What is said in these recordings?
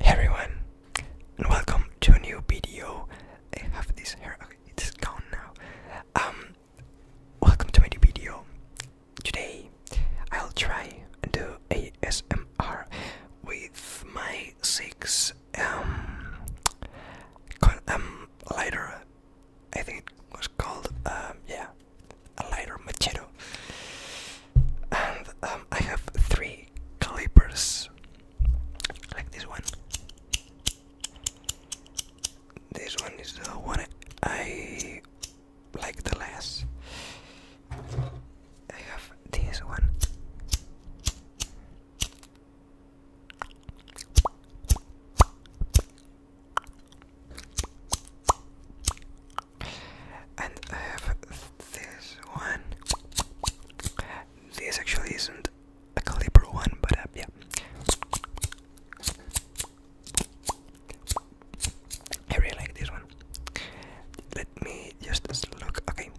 everyone, and welcome to a new video. I have this hair, okay, it's gone now. Um, welcome to my new video. Today, I'll try and do ASMR with my six um, um lighter I think it was called, um, yeah, a lighter machito. And um, I have three calipers, like this one. This one is the one I like the less. I have this one. And I have this one. This actually isn't a caliber one, but uh, yeah. I really like this one. Let me just look. Okay,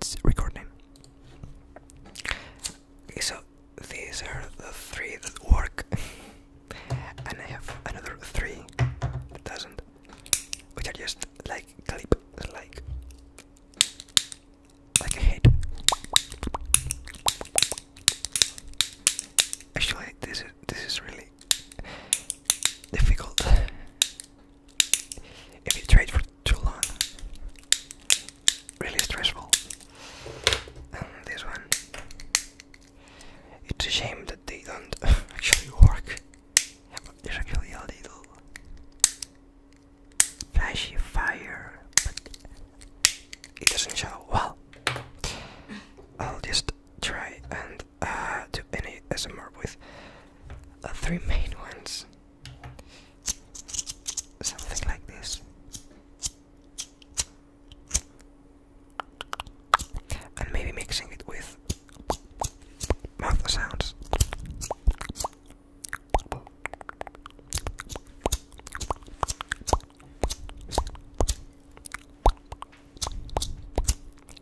it's recording. Okay, so these are the three that work, and I have another three that doesn't, which are just like clip, like like a head. Actually, this is this is really difficult if you trade for too long, really stressful. And this one, it's a shame that they don't actually work. there's actually a little flashy fire, but it doesn't show well. I'll just try and uh, do any SMR with the uh, three main ones. Something like this. And maybe mixing it with mouth sounds.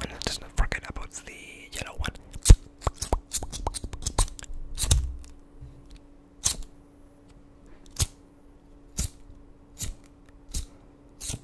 And let's not forget about the yellow one.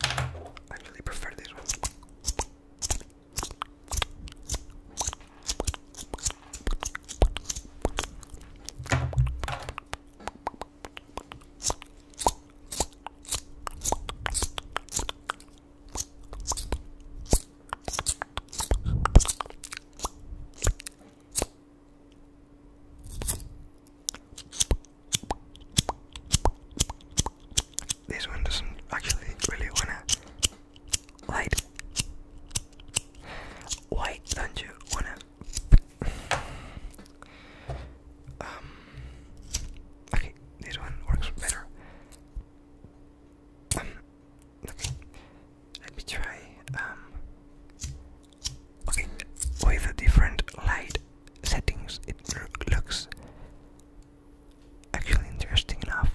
I really prefer these ones. This one doesn't actually really wanna light. Why don't you wanna? Um, okay, this one works better. Um, okay. Let me try. Um, Okay, with the different light settings, it looks actually interesting enough.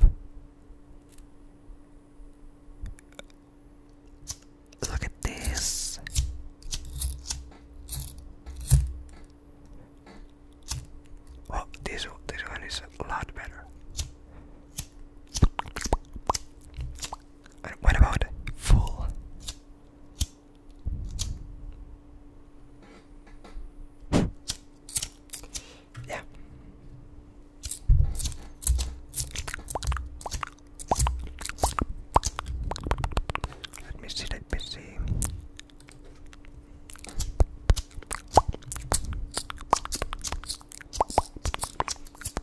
Look at this. Well, this this one is a lot better. what about full? Yeah. Let me see, let me see.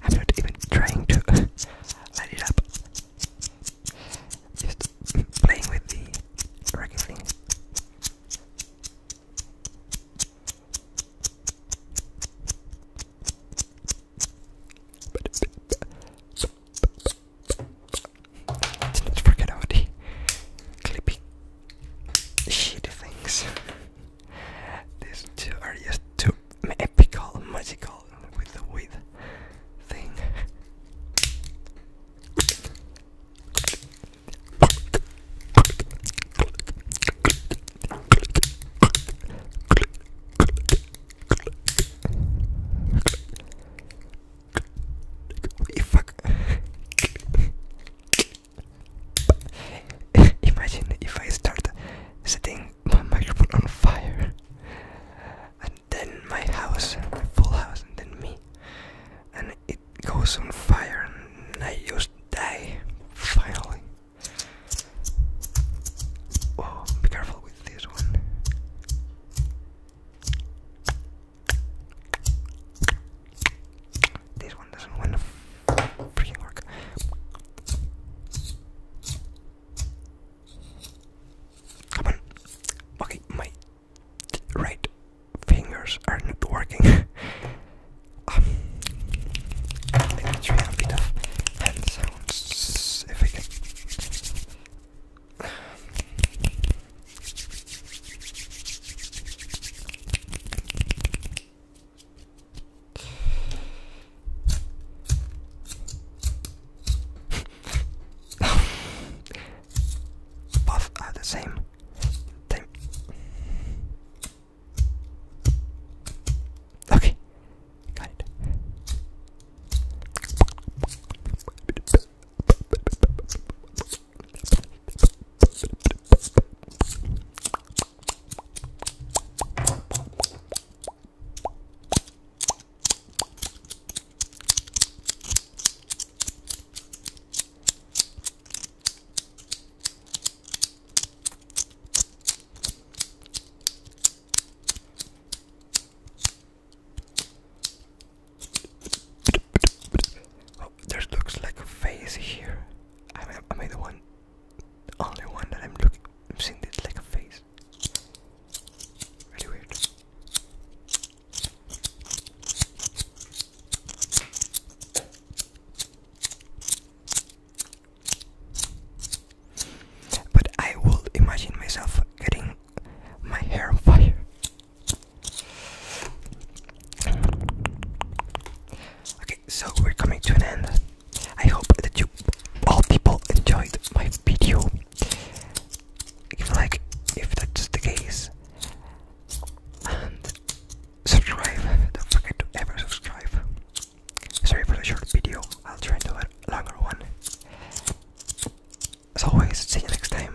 I'm not even trying to light it up. Just playing with the rocking thing. Let's not forget about the clippy shitty things. These two are just too epical, magical with the weird thing. Fuck. Imagine if I start setting my microphone on fire, and then my house, my full house, and then me, and it goes on fire and I just die finally. Oh, be careful with this one. This one doesn't want to work. Come on. Okay, my right fingers are not working. let me try a bit of hand sounds if I can both are the same time. Okay, got it. Oh, there looks like a face here. I am I the one, only one that I'm looking, I'm seeing this like a face? Really weird. But I would imagine myself getting my hair on fire. Okay, so we're coming to an end. I hope that you all people enjoyed my video if like if that's the case and subscribe don't forget to ever subscribe sorry for the short video i'll try to do a longer one as always see you next time